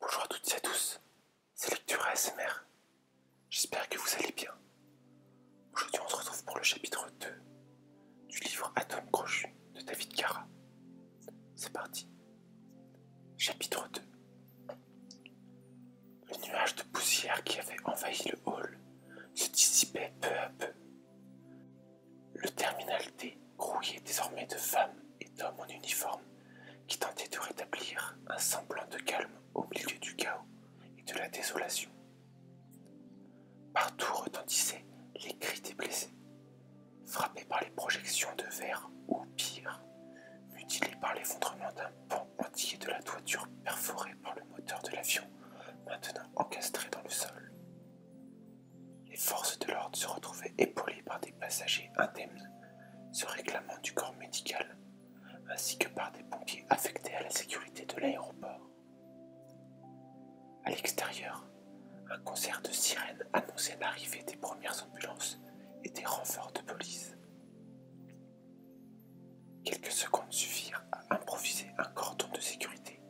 Bonjour à toutes et à tous, c'est Lecture ASMR. J'espère que vous allez bien. Aujourd'hui, on se retrouve pour le chapitre 2 du livre Atome crochu de David Cara. C'est parti. Chapitre 2 Le nuage de poussière qui avait envahi le hall se dissipait peu à peu le terminal D grouillait désormais de femmes et d'hommes en uniforme qui tentaient de rétablir un semblant de calme au milieu du chaos et de la désolation. Partout retentissaient les cris des blessés, frappés par les projections de verre ou pire, mutilés par l'effondrement d'un pont entier de la toiture perforée par le moteur de l'avion, maintenant encastré dans le sol. Les forces de l'ordre se retrouvaient épaulées par des passagers indemnes, se réclamant du corps médical, ainsi que par des pompiers affectés à la sécurité de l'aéroport. À l'extérieur, un concert de sirènes annonçait l'arrivée des premières ambulances et des renforts de police. Quelques secondes suffirent à improviser un cordon de sécurité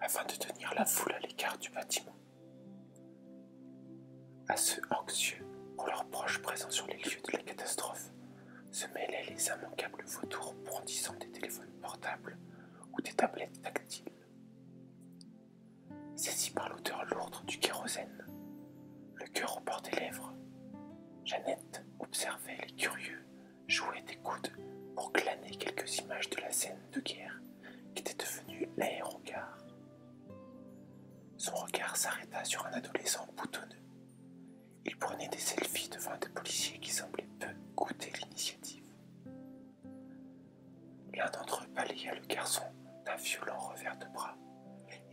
afin de tenir la foule à l'écart du bâtiment. À ceux anxieux pour leurs proches présents sur les lieux de la catastrophe se mêlaient les immanquables vautours brandissant des téléphones portables ou des tablettes tactiles. Saisi par l'odeur lourde du kérosène, le cœur au bord des lèvres, Jeannette observait les curieux jouait des coudes pour claner quelques images de la scène de guerre qui était devenue l'aérogare. Son regard s'arrêta sur un adolescent boutonneux. Il prenait des selfies devant des policiers qui semblaient peu goûter l'initiative. L'un d'entre eux balaya le garçon d'un violent revers de bras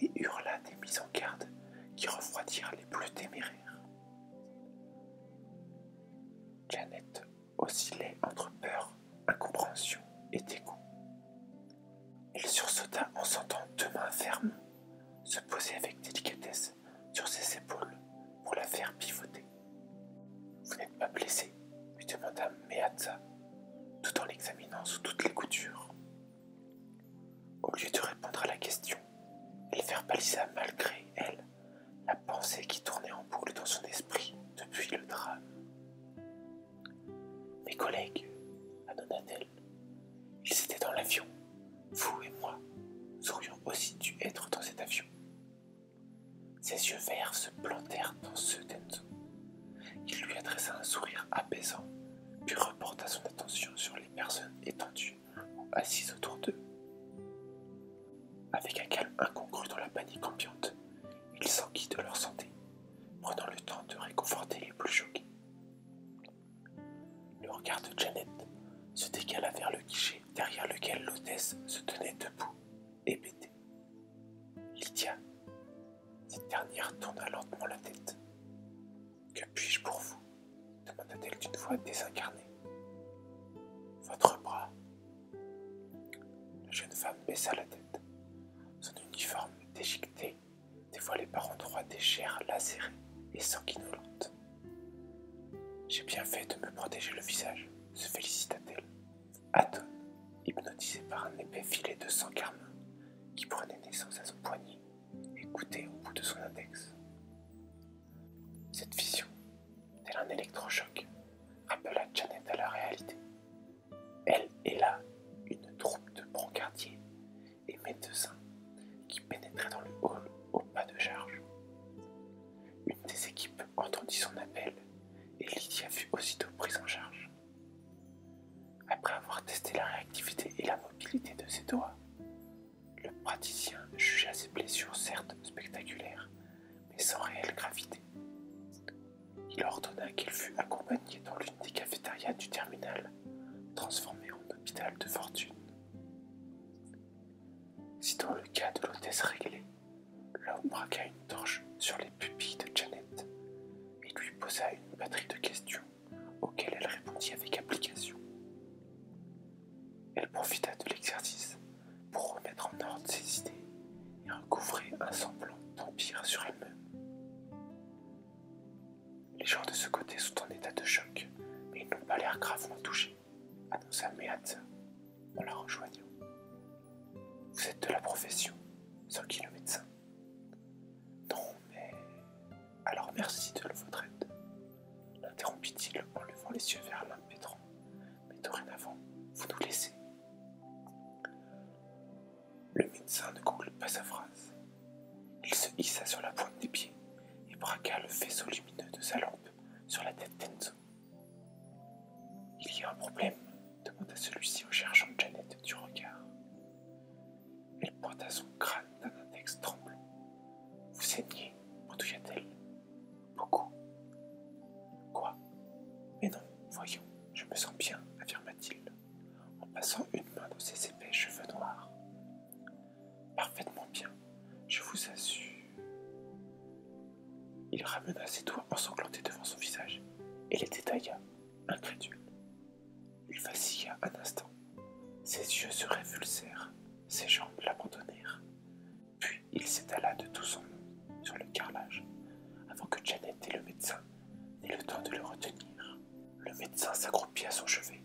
et hurla des mises en garde qui refroidirent les plus téméraires. Janet oscillait entre peur, incompréhension et dégoût. Il sursauta en sentant deux mains fermes se poser avec délicatesse sur ses épaules pour la faire pivoter. Vous n'êtes pas blessé lui demanda Meatza, tout en l'examinant sous toutes les coutures. Au lieu de répondre à la question, elle verbalisa malgré elle la pensée qui tournait en boucle dans son esprit depuis le drame. Mes collègues, » t elle ils étaient dans l'avion. Vous et moi, nous aurions aussi dû être dans cet avion. Ses yeux verts se plantèrent dans ceux d'Enzo. Il lui adressa un sourire apaisant, puis reporta son attention sur les personnes étendues assis autour d'eux. Avec un calme incongru dans la panique ambiante, ils s'enquient de leur santé, prenant le temps de réconforter les plus choqués. Le regard de Janet se décala vers le guichet derrière lequel l'hôtesse se tenait debout, hébétée. Lydia, cette dernière tourna lentement la tête. Que puis-je pour vous demanda-t-elle d'une voix désincarnée. Votre bras. La jeune femme baissa la tête. Son uniforme déchiqueté dévoilait par endroits des chairs lacérées et sanguinolentes. J'ai bien fait de me protéger le visage, se félicita-t-elle. atone, hypnotisé par un épais filet de sang carmin qui prenait naissance à son poignet et au bout de son index. Cette vision, tel un électrochoc, rappela Janet à la réalité. Elle est là, une troupe de brancardiers et médecins qui pénétraient dans le hall au pas de charge. Une des équipes entendit son appel et Lydia fut aussitôt prise en charge. Après avoir testé la réactivité et la mobilité de ses doigts, le praticien jugea ses blessures certes spectaculaires, mais sans réelle gravité. Il ordonna qu'il fût accompagné dans l'une des cafétérias du terminal, transformée en hôpital de fortune. Si dans le cas de l'hôtesse réglée, l'homme braqua une torche sur les pupilles de Janet et lui posa une batterie de questions auquel elle répondit avec application. Elle profita de l'exercice pour remettre en ordre ses idées et recouvrer un semblant d'empire sur elle-même. Les gens de ce côté sont en état de choc, mais ils n'ont pas l'air gravement touchés, annonça Meat en la rejoignant. Vous êtes de la profession, sans qui le médecin. Non, mais alors merci de votre aide, l'interrompit-il en levant les yeux vers l'impétrant. Mais dorénavant, vous nous laissez. Le médecin ne conclut pas sa phrase. Il se hissa sur la pointe des pieds et braqua le faisceau lumineux de sa lampe sur la tête d'Enzo. Il y a un problème demanda celui-ci en cherchant Janet du regard. Elle pointa son crâne d'un index tremblant. Vous saignez mendouilla-t-elle. Beaucoup. Quoi Mais non, voyons, je me sens bien, affirma-t-il, en passant une main dans ses épais cheveux noirs. Parfaitement bien, je vous assure. Il ramena ses doigts ensanglantés devant son visage et les détailla, incrédule. Il vacilla un instant. Ses yeux se révulsèrent, ses jambes l'abandonnèrent. Puis il s'étala de tout son nom sur le carrelage, avant que Janet et le médecin n'aient le temps de le retenir. Le médecin s'accroupit à son chevet,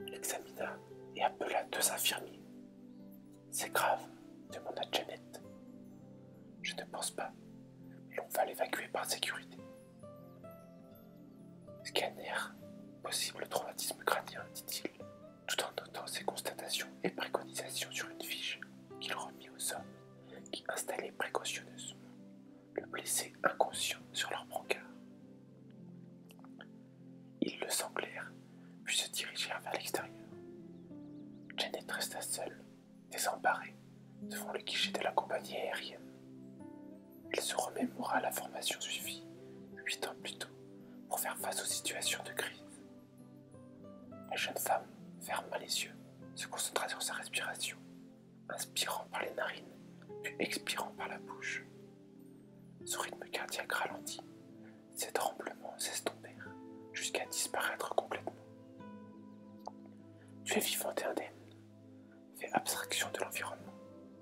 l'examina et appela deux infirmiers. C'est grave, demanda Janet. Je ne pense pas, mais on va l'évacuer par sécurité. Scanner, possible traumatisme crânien, dit-il, tout en notant ses constatations et préconisations sur une fiche qu'il remit aux hommes qui installaient précautionneusement le blessé inconscient sur leur brancard. Ils le sanglèrent, puis se dirigèrent vers l'extérieur. Janet resta seule, désemparée, devant le guichet de la compagnie aérienne. Elle se remémora la formation suivie huit ans plus tôt pour faire face aux situations de crise. La jeune femme ferma les yeux, se concentra sur sa respiration, inspirant par les narines, puis expirant par la bouche. Son rythme cardiaque ralentit, ses tremblements s'estompèrent jusqu'à disparaître complètement. Tu es vivante et indemne, Fais abstraction de l'environnement.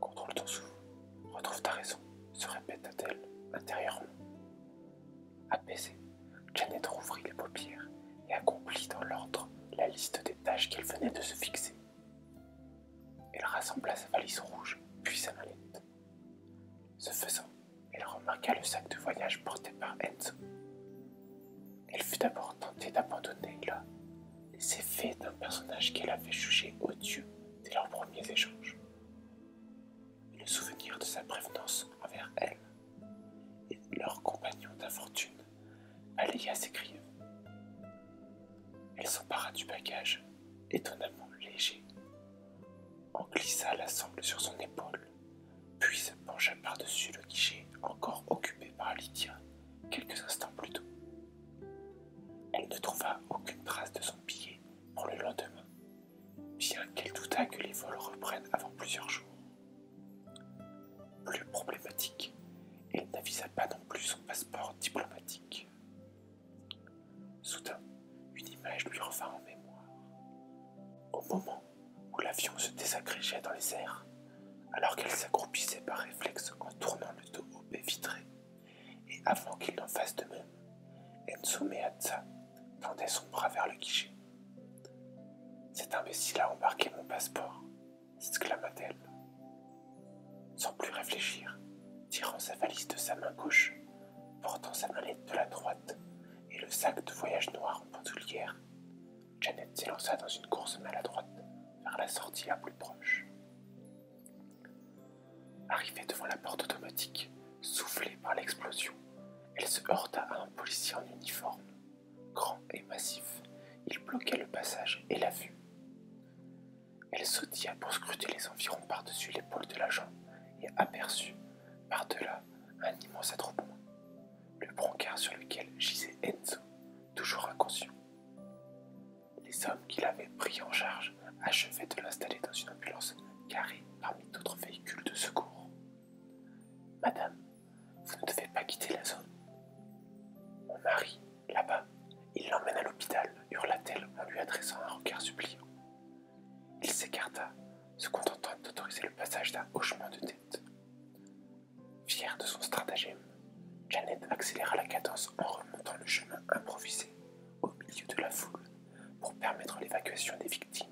Contrôle ton souffle. Retrouve ta raison. Se répéta-t-elle intérieurement. Apaisée, Janet rouvrit les paupières et accomplit dans l'ordre la liste des tâches qu'elle venait de se fixer. Elle rassembla sa valise rouge, puis sa mallette. Ce faisant, elle remarqua le sac de voyage porté par Enzo. Elle fut d'abord tentée d'abandonner là. C'est fait d'un personnage qu'elle avait jugé odieux dès leurs premiers échanges. le souvenir de sa prévenance envers elle et leur compagnon d'infortune à ses Elle s'empara du bagage, étonnamment léger, en glissa la sangle sur son épaule, puis se pencha par-dessus le guichet encore occupé par Lydia quelques instants plus tôt. Elle ne trouva aucune trace de son billet pour le lendemain, bien qu'elle douta que les vols reprennent avant plusieurs jours. Plus problématique, elle n'avisa pas non plus son passeport diplomatique. Soudain, une image lui revint en mémoire. Au moment où l'avion se désagrégeait dans les airs, alors qu'elle s'accroupissait par réflexe en tournant le dos au baie vitré. Et avant qu'il n'en fasse de même, Enzo Meazza tendait son bras vers le guichet. Cet imbécile a embarqué mon passeport, s'exclama-t-elle. Sans plus réfléchir, tirant sa valise de sa main gauche, portant sa mallette de la droite et le sac de voyage noir en bandoulière, Janet s'élança dans une course maladroite vers la sortie la plus proche. Arrivée devant la porte automatique, soufflée par l'explosion, elle se heurta à un policier en uniforme. Grand et massif, il bloquait le passage et la vue. Elle sautilla pour scruter les environs par-dessus l'épaule de l'agent et aperçut, par-delà, un immense attroupement. Le brancard sur lequel gisait Enzo toujours inconscient. Les hommes qui l'avaient pris en charge achevaient de l'installer dans une ambulance carrée parmi d'autres véhicules de secours. Madame, vous ne devez pas quitter la zone. Mon mari, là-bas, il l'emmène à l'hôpital, hurla-t-elle en lui adressant un regard suppliant. Il s'écarta, se contentant d'autoriser le passage d'un hochement de tête. Fière de son stratagème, Janet accéléra la cadence en remontant le chemin improvisé au milieu de la foule pour permettre l'évacuation des victimes.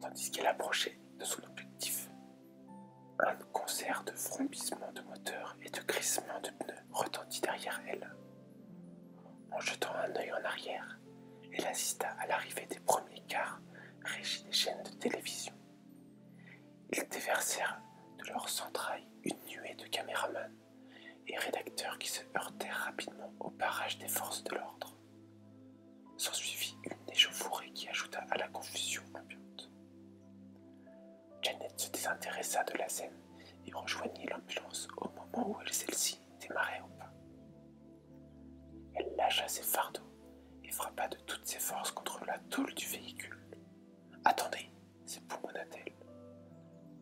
Tandis qu'elle approchait de son objectif, un concert de frombissements de moteurs et de grissements de pneus retentit derrière elle. En jetant un œil en arrière, elle assista à l'arrivée des premiers cars régis des chaînes de télévision. Ils déversèrent de leurs entrailles une nuée de caméramans et rédacteurs qui se heurtèrent rapidement au barrage des forces de l'ordre. S'ensuivit une échauffourée qui ajouta à la confusion ambiante. Janet se désintéressa de la scène et rejoignit l'ambulance au moment où elle celle-ci démarrait au pas. Elle lâcha ses fardeaux et frappa de toutes ses forces contre la toule du véhicule. Attendez, c'est t elle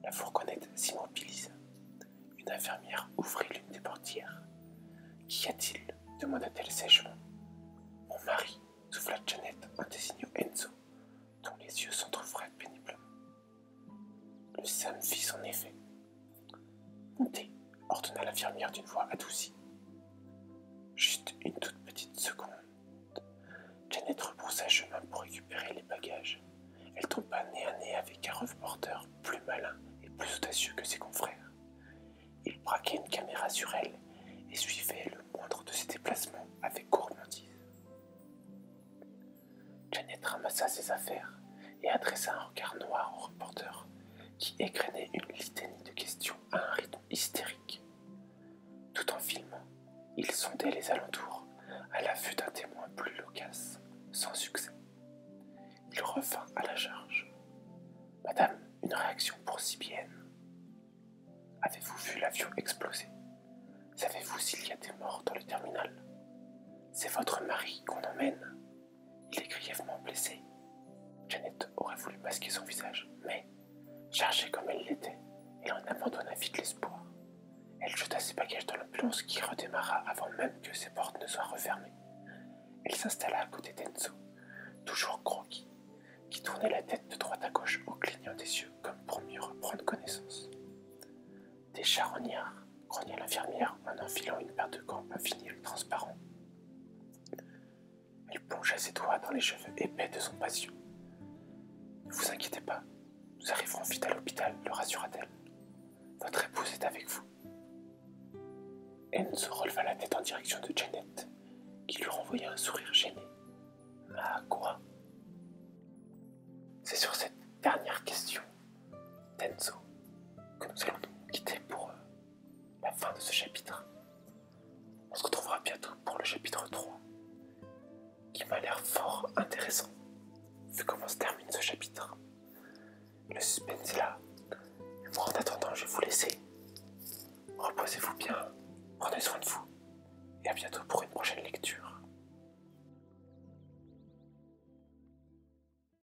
La fourgonnette s'immobilisa. Une infirmière ouvrit l'une des portières. Qu'y a-t-il demanda-t-elle sèchement. Mon mari, souffla Janet en désignant Enzo, dont les yeux s'entr'ouvraient péniblement. Le Sam fit son effet. Montez, ordonna l'infirmière d'une voix adoucie. Juste une toute petite seconde. Janet repoussa chemin pour récupérer les bagages. Elle tomba nez à nez avec un reporter plus malin et plus audacieux que ses confrères. Il braquait une caméra sur elle et suivait le moindre de ses déplacements avec gourmandise. Janet ramassa ses affaires et adressa un regard noir au reporter qui égrenait une litanie de questions à un rythme hystérique. Tout en filmant, il sondait les alentours, à la vue d'un témoin plus loquace, sans succès. Il revint à la charge. Madame, une réaction pour CBN. Avez-vous vu l'avion exploser Savez-vous s'il y a des morts dans le terminal C'est votre mari qu'on emmène il est grièvement blessé. Janet aurait voulu masquer son visage, mais, chargée comme elle l'était, elle en abandonna vite l'espoir. Elle jeta ses bagages dans l'ambulance qui redémarra avant même que ses portes ne soient refermées. Elle s'installa à côté d'Enzo, toujours croquis, qui tournait la tête de droite à gauche en clignant des yeux comme pour mieux reprendre connaissance. Des charognards, grognait l'infirmière en enfilant une paire de gants à vinyle transparent il plongea ses doigts dans les cheveux épais de son patient. Ne vous inquiétez pas, nous arriverons vite à l'hôpital, le rassura-t-elle. Votre épouse est avec vous. Enzo releva la tête en direction de Janet, qui lui renvoya un sourire gêné. Ma ah, quoi C'est sur cette dernière question d'Enzo que nous allons nous quitter pour eux la fin de ce chapitre. On se retrouvera bientôt pour le chapitre 3, qui m'a l'air fort intéressant, vu comment se termine ce chapitre. Le suspense est là. en attendant, je vais vous laisser. Reposez-vous bien, prenez soin de vous, et à bientôt pour une prochaine lecture.